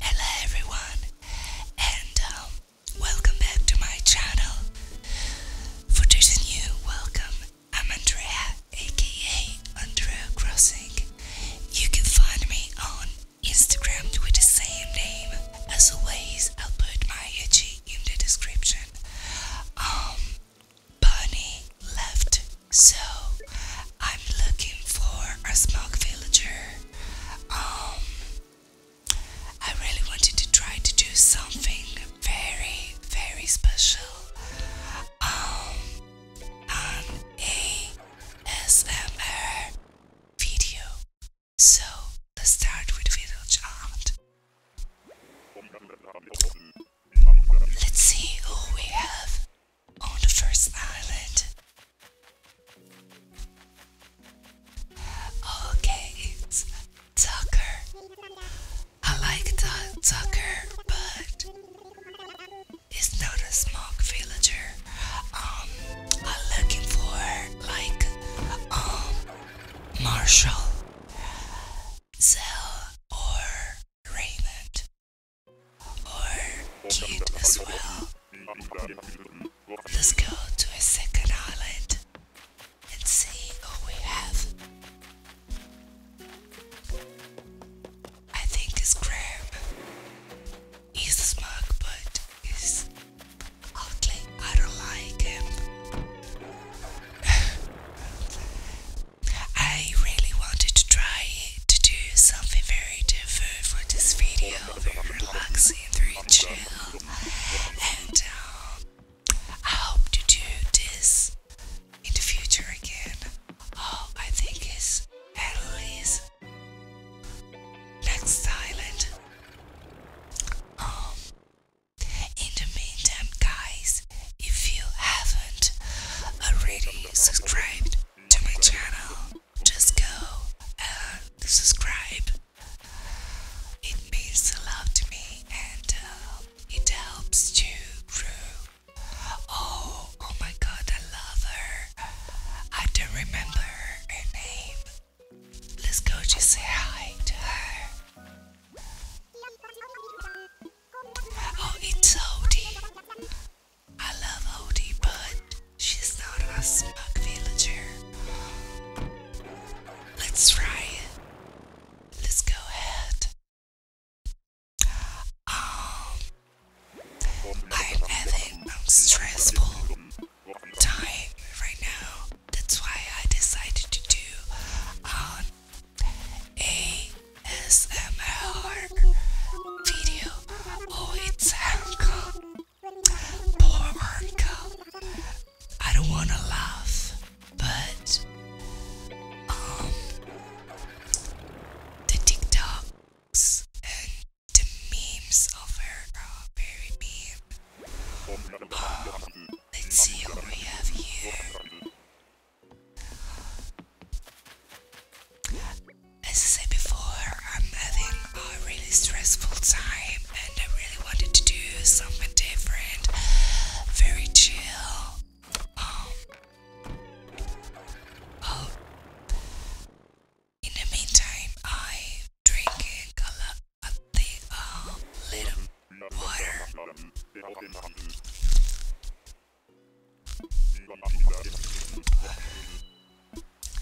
Hello everyone and um, welcome back to my channel. For those new, welcome. I'm Andrea aka Andrea Crossing. You can find me on Instagram with the same name. As always, I'll put my IG in the description. Um, Bunny left, so I'm looking for a smog villager. Um, I really wanted to try to do something very, very special. Um, an ASMR video. So let's start with village art. Let's see who we have on the first island. Okay, it's Tucker. I like Tucker, but it's not a smog villager. Um, I'm looking for like um Marshall, Zell, or Raymond, or Kid as well. Let's go to a second island and see who we have. I think it's Graham. He's a smug, but he's ugly. I don't like him. I really wanted to try to do something very different for this video, very relaxing, very chill, and um, I hope to do this in the future again. Oh, I think it's at least next island. Um, in the meantime, guys, if you haven't already subscribed to my channel, just go and subscribe. It means a lot to me and uh, it helps to grow. Oh, oh my god, I love her. I don't remember her name. Let's go just say hi to her. Oh, it's Odie. I love Odie, but she's not a smug villager. Let's try it. Let's go ahead. Um, I'm having a um, stressful time right now. That's why I decided to do an um, ASMR video. Oh, it's Uncle. Poor Uncle. I don't want to laugh, but um, the TikToks and the memes of her oh, very meme. Oh, let's see what we have here. As I said before, I'm having a really stressful time and I really wanted to do something different, very chill. Um, Oh. In the meantime, I'm drinking a, lot, a thing, water. And uh,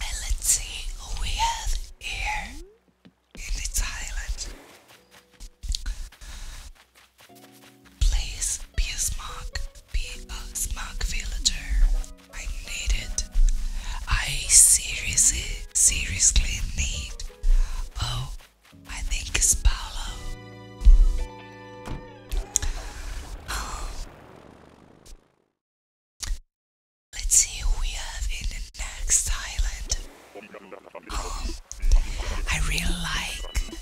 let's see who we have here in this island. Please be a smug, Be a smug villager. I need it. I seriously, seriously need. Oh, I think it's Paolo. Um, let's see who we have in the next island. Um, I really like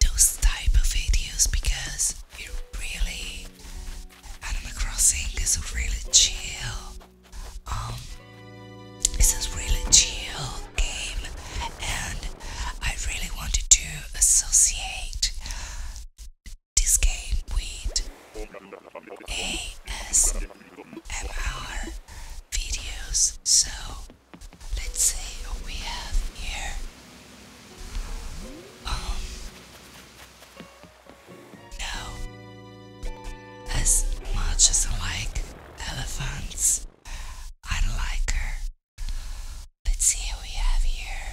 those type of videos because it really Animal Crossing is a really chill um it's a really chill game and I really wanted to associate this game with ASMR videos so Let's see what we have here. Um, no. As much as I like elephants, I don't like her. Let's see what we have here.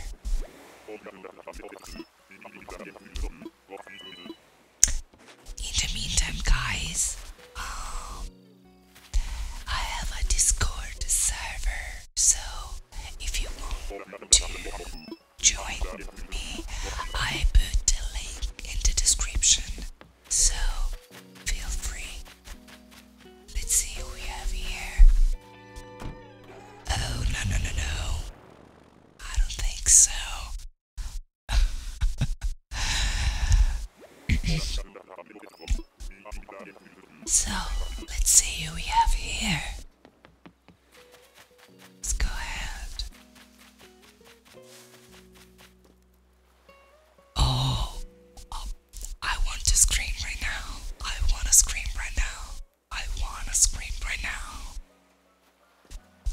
In the meantime, guys, um, I have a Discord server, so if you want to join me, I put the link in the description. So feel free. Let's see who we have here. Oh, no, no, no, no. I don't think so. so, let's see who we have here. Let's go ahead. Oh, uh, I want to scream right now. I want to scream right now. I want to scream right now.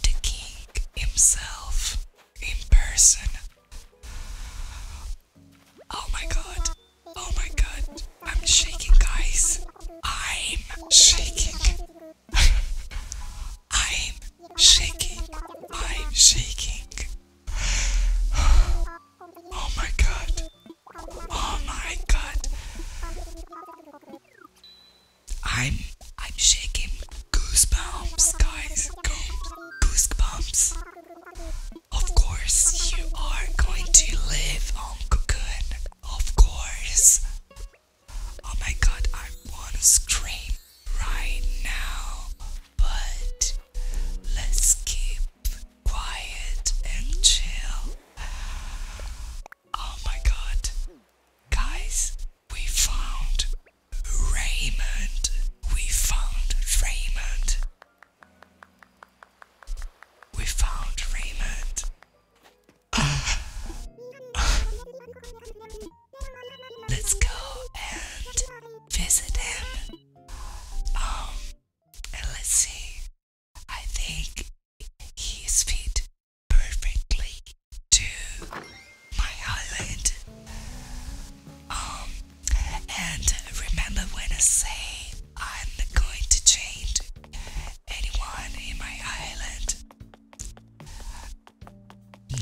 The king himself in person Oh my god. Oh my god. I'm shaking, guys. I'm shaking. I'm shaking. I'm shaking. Oh my god. Oh my god. I'm I'm shaking. Goosebumps, guys. Goosebumps. Of course, you are going to live on Cocoon. Of course. Oh my god, I want to scream right now. But let's keep quiet and chill. Oh my god. Guys, we found Raymond. We found Raymond. We found Raymond. Let's go and visit him. Um, and let's see. I think he's fit perfectly to my island. Um, and remember when I say I'm not going to change anyone in my island.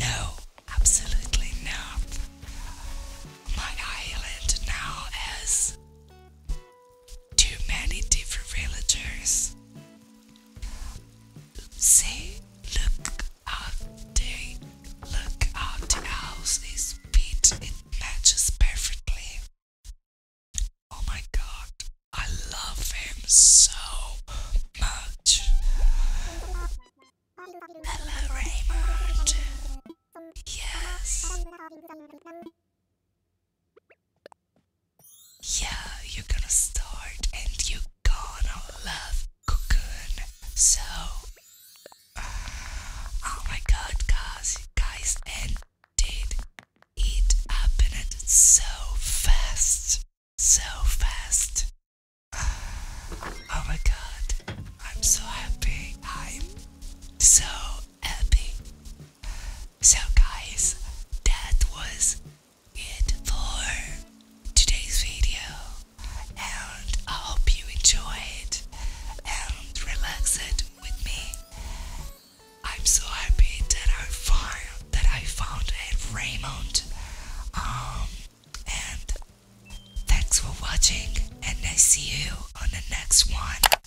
No, absolutely not. My island now has too many different villagers say, Look out there, look out, the house is beat, it matches perfectly. Oh my god, I love him so much. Hello, Raymond. Yes. Yeah, you're gonna start and you're gonna love cooking. So, uh, oh my god, guys, guys, and did it happen so fast? So fast. Uh, oh my god, I'm so happy. I'm so happy. So, guys, that was it for today's video, and I hope you enjoy it and relax it with me. I'm so happy that I found that I found a Raymond. Um, and thanks for watching, and I see you on the next one.